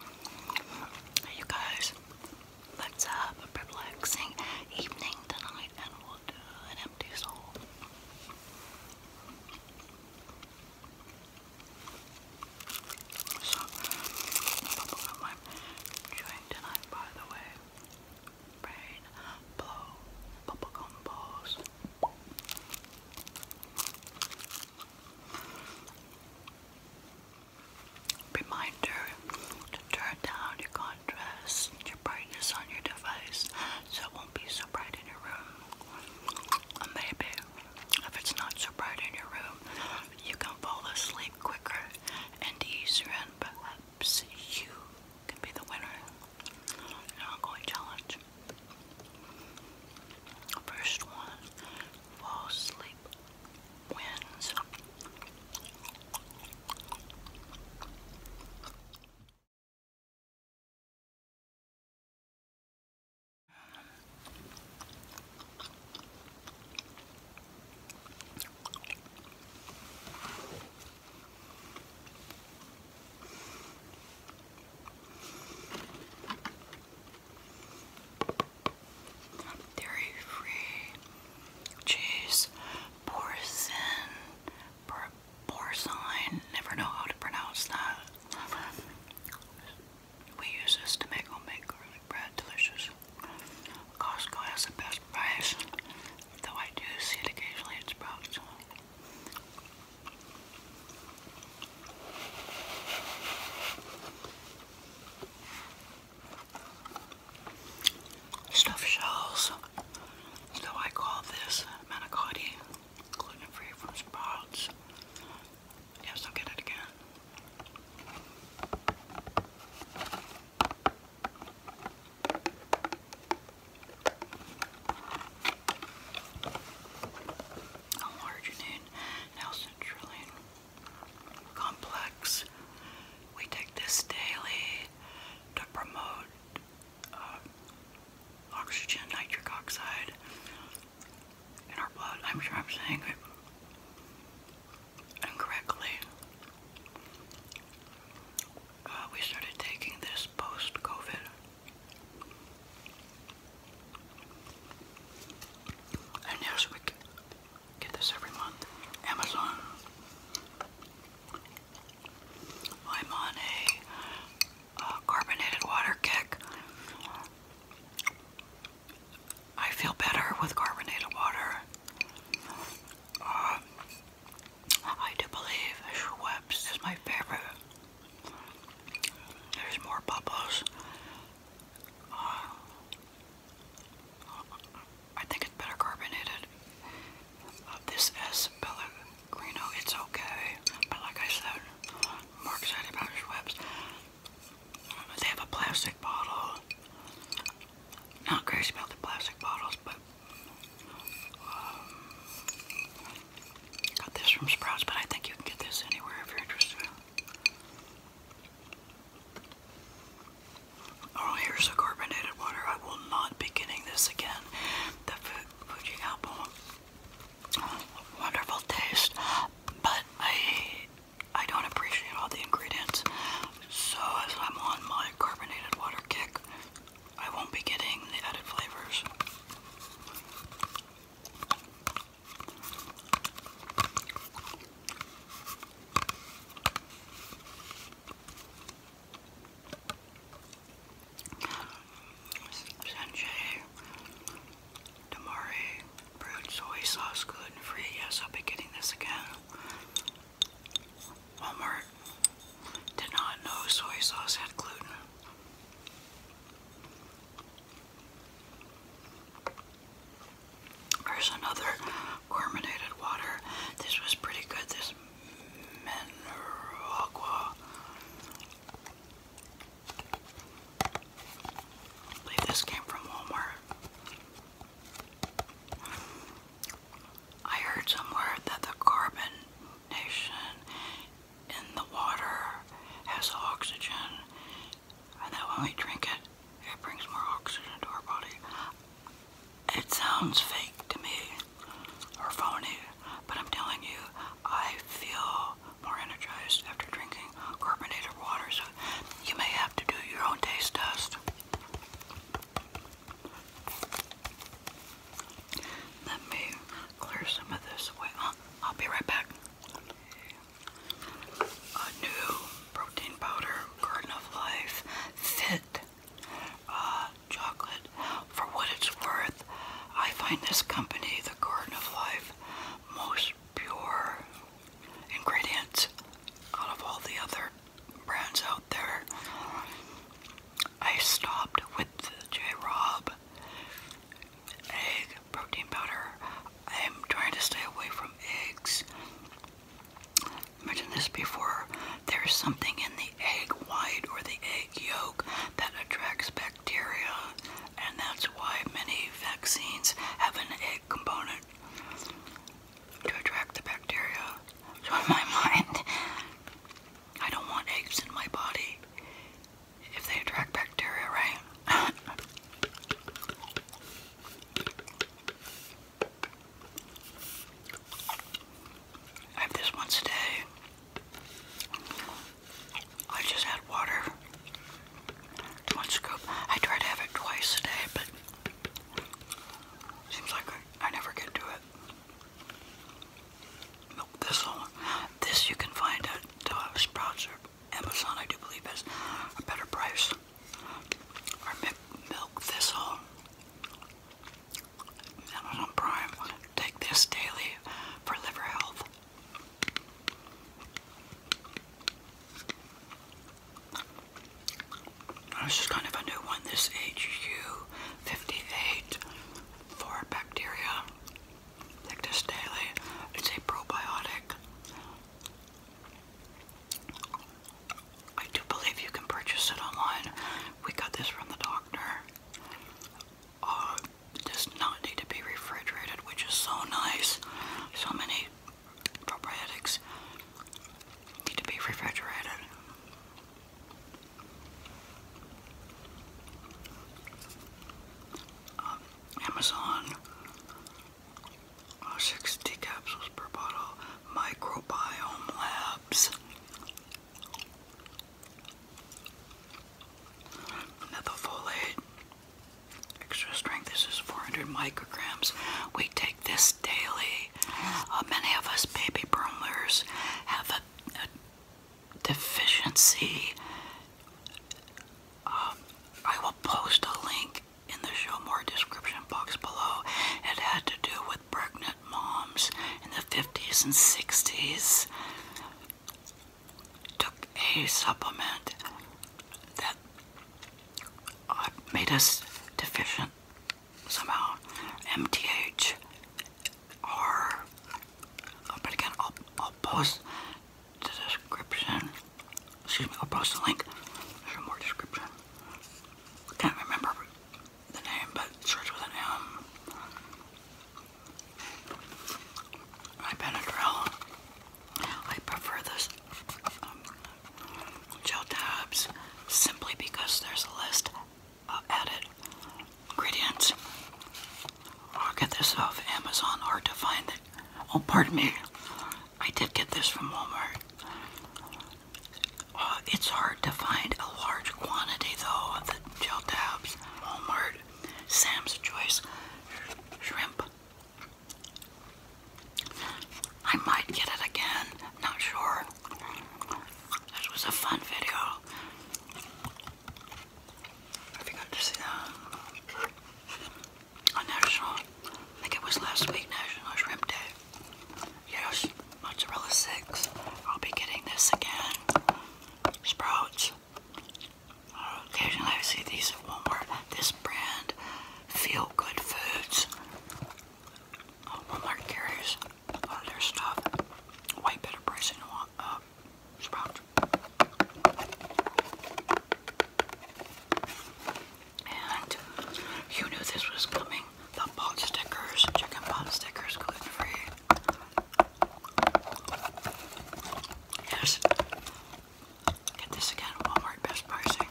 Hey you guys, let's have a relaxing evening tonight and we'll do an empty soul. So, bubblegum I'm tonight, by the way. Brain blow bubblegum balls. Reminder to turn down your contrast and your brightness on your device so it won't be so bright in your room. Or uh, maybe if it's not so bright in your room, you can fall asleep quicker and easier, and perhaps you can be the winner in an ongoing challenge. First one fall asleep wins dairy free cheese, porcine, por porcine, never know how to pronounce that. We use this to make homemade garlic bread delicious. Costco has the best price, though I do see it occasionally at Sprouts. Stuffed shells, so I call this manicotti, gluten-free from Sprouts. Yes, I'll get it again. How large you complex. We take this daily to promote uh, oxygen, nitric oxide in our blood. I'm sure I'm saying it incorrectly. Uh, we started taking this post-COVID. And yes, we get this every month. Amazon. I'm on a uh, carbonated water kick. I feel better with carbonated water. Um, I do believe Schweppes is my favorite. There's more bubbles. I think it's better carbonated. Uh, this S is Pellegrino, it's okay, but like I said, more excited about Schweppes. They have a plastic bottle. Not crazy about the plastic bottles, but um, got this from Sprouts, but I think you can get this anywhere if you're interested. Oh, here's the carbonated water. I will not be getting this again. The Fuji apple, wonderful taste, but I I don't appreciate all the ingredients. So as I'm on my carbonated water kick, I won't be getting the added flavors. Sanjay, tamari, brewed soy sauce, gluten free. Yes, I'll be getting this again. Walmart did not know soy sauce had gluten. There's another carbonated water. This was pretty good. This mineral I believe this came from Walmart. I heard somewhere that the carbonation in the water has oxygen and that when we drink it, it brings more oxygen to our body. It sounds fake to me or phony, but I'm telling you, I feel more energized after drinking carbonated water, so you may have to do your own taste test. Let me clear some of this away. I'll be right back a new protein powder, Garden of Life Fit uh, chocolate. For what it's worth, I find this company, the Garden of Life, most pure ingredients out of all the other brands out there. I stopped with J. Rob egg protein powder. I'm trying to stay away from eggs. mentioned this before. There's something in the egg white or the egg yolk that attracts bacteria, and that's why many vaccines have an egg component to attract the bacteria. So in my mind, I don't want eggs in my body if they attract bacteria, right? I have this once a day. I just add water. One scoop. I try to have it twice a day, but seems like I, never get to it. This one, this you can find at uh, Sprouts Amazon, I do believe, has a better price. Or milk thistle. Amazon Prime. Take this daily for liver health. This is kind of a new one. This HU58 for bacteria. Ictus Daily. It's a probiotic. I do believe you can purchase it online. We got this from the doctor. Uh, does not need to be refrigerated, which is so nice. So many probiotics need to be refrigerated. Um, Amazon 60 capsules per bottle. Microbiome Labs. Methylfolate. Extra strength. This is 400 micrograms. We take this daily. Uh, many of us baby boomers have a deficiency um, I will post a link in the show more description box below. It had to do with pregnant moms in the 50s and 60s took a supplement that uh, made us deficient somehow. MTH or but again I'll, I'll post the description. Excuse me, I'll post a link. There's more description. I can't remember the name, but it starts with an M. My Benadryl. I prefer this um, gel tabs simply because there's a list of added ingredients. I'll get this off Amazon. or to find it. Oh, pardon me. I did get this from Walmart. Uh, it's hard to find a large quantity, though, of the gel tabs. Walmart, Sam's Choice, Shrimp. I might get it again. Not sure. This was a fun video. I forgot to see that on National, I think it was last week, National Shrimp Day. Yes, mozzarella sticks. I'll be getting this again. Sprouts. occasionally I see these at Walmart. This brand, Feel Good Foods. Oh, Walmart carries a lot of their stuff. Way better pricing than uh, Sprout. And you knew this was coming. The pot stickers, chicken pot stickers, gluten free. Yes. Get this again, Walmart best pricing.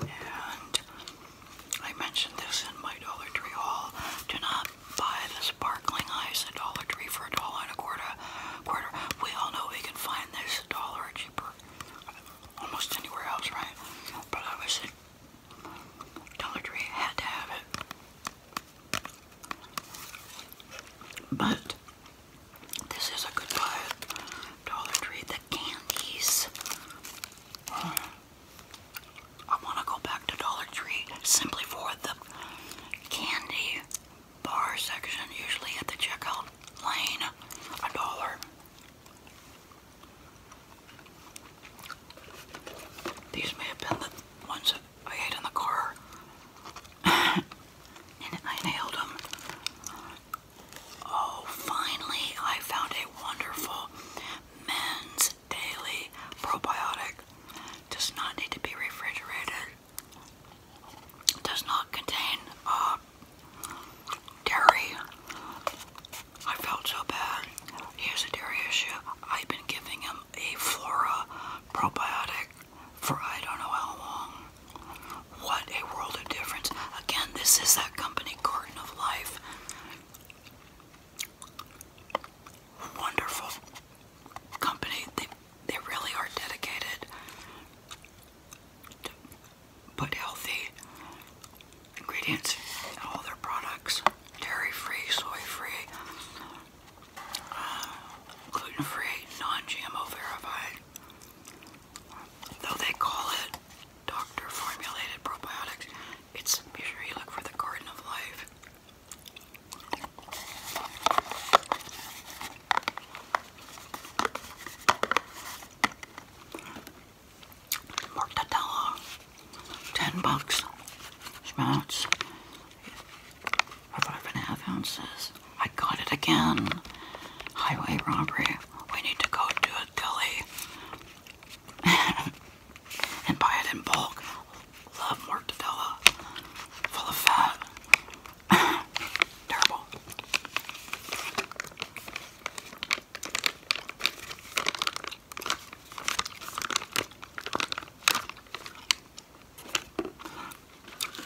And I mentioned this in my Dollar Tree haul. Do not buy the sparkling ice at Dollar Tree for a dollar and a quarter. Quarter. We all know we can find this dollar cheaper almost anywhere else, right? But I was Dollar Tree had to have it. But this is a good buy Dollar Tree. The candies. I want to go back to Dollar Tree simply for the candy bar section, usually at the checkout lane, a dollar. These may have been the ones I ate in the car, and I nailed them. Oh, finally, I found a wonderful men's daily probiotic does not need to be refrigerated. Does not contain uh, dairy. I felt so bad. Here's a dairy issue. I've been giving him a flora probiotic for I don't know how long. What a world of difference. Again, this is that company Garden of Life wonderful company. They they really are dedicated to put healthy ingredients in all their products. Dairy-free, soy-free, uh, gluten-free, non-GMO verified. Though they call it doctor formulated probiotics, it's be sure you look for the garden of life. Mortadella, ten bucks. Schmutz, five and a half ounces. I got it again. Highway robbery. We need to go to a deli and buy it in bulk. Love mortadella. Full of fat. Terrible.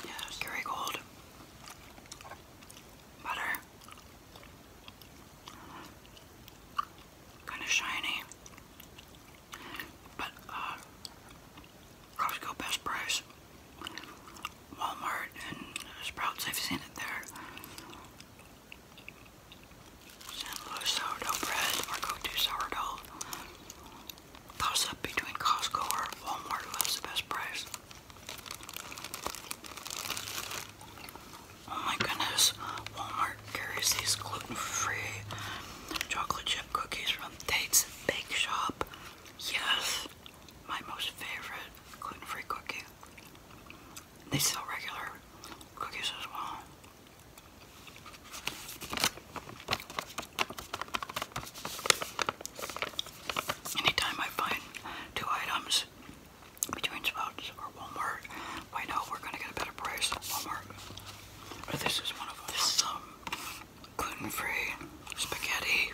Yes, Kerrygold. Butter. Kind of shiny. But uh, Costco Best Price, Walmart, and Sprouts, I've seen it there. St. Louis bread or go-to sourdough. Toss up between Costco or Walmart who has the best price. Oh my goodness, Walmart Walmart carries these gluten-free chocolate chip cookies from Tate's Bake Shop. Yes, my most favorite gluten-free cookie. They sell regular cookies as well. Anytime I find two items between Sprouts or Walmart, I know we're going to get a better price at Walmart this is one of This um, gluten-free spaghetti,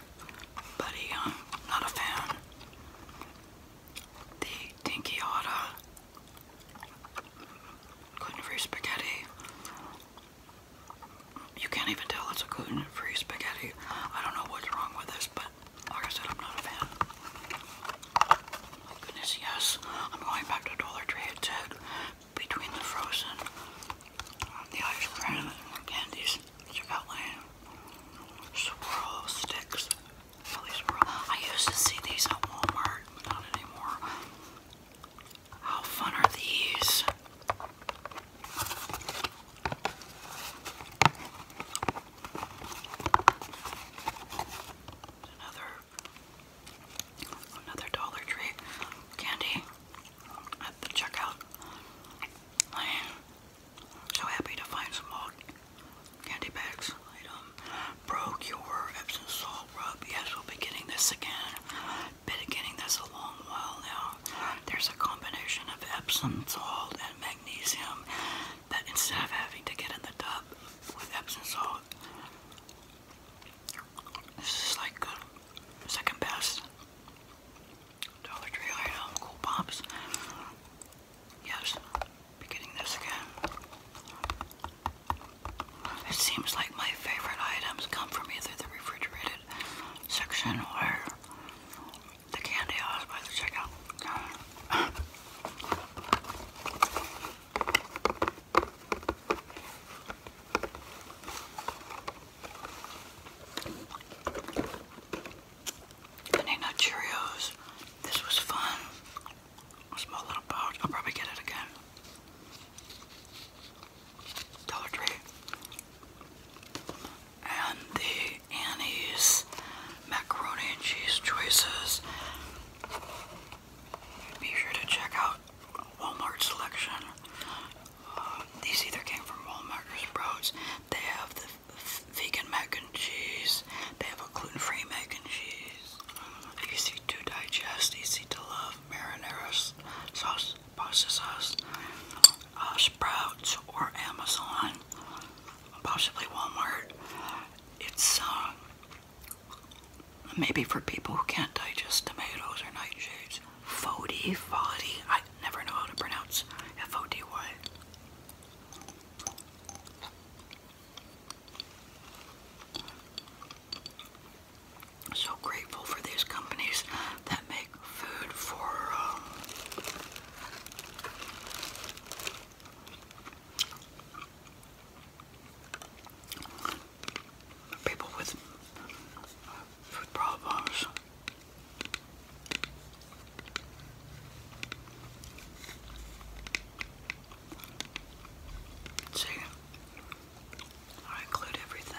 but um, not a fan. The Dinky gluten-free spaghetti. You can't even tell it's a gluten-free spaghetti. I don't know what's wrong with this, but like I said, I'm not a fan. Oh, goodness, yes. I'm going back to Dollar Tree at 10 between the frozen, um, the ice cream, candies. Check Swirl sticks. I used to see these at Walmart, not anymore. How fun are these? Another Another Dollar Tree candy at the checkout So happy to find some old candy bags. Item Procure Epsom Salt Rub. Yes, we'll be getting this again. Been getting this a long while now. There's a combination of Epsom salt and magnesium that instead of having to get in the tub with Epsom salt, this is like uh, second best Dollar Tree item, Cool Pops. Yes, be getting this again. It seems like my favorite items come from either the refrigerated section or the candy aisles by the checkout. Banana Cheerios. This was fun. small little pouch. I'll probably get it again. Dollar Tree. And the Annie's macaroni and cheese choices. Be sure to check out Walmart selection. Uh, these either came from Walmart or They have the vegan mac and cheese. They have a gluten-free mac and cheese. Easy to digest, easy to love marinara sauce, pasta sauce, uh, Sprouts or Amazon, possibly Walmart. It's uh, Maybe for people who can't digest tomatoes or nightshades. Fody, fody. I never know how to pronounce F O D Y. So grateful for these companies that make food for um, people with uh, food problems. See, I include everything.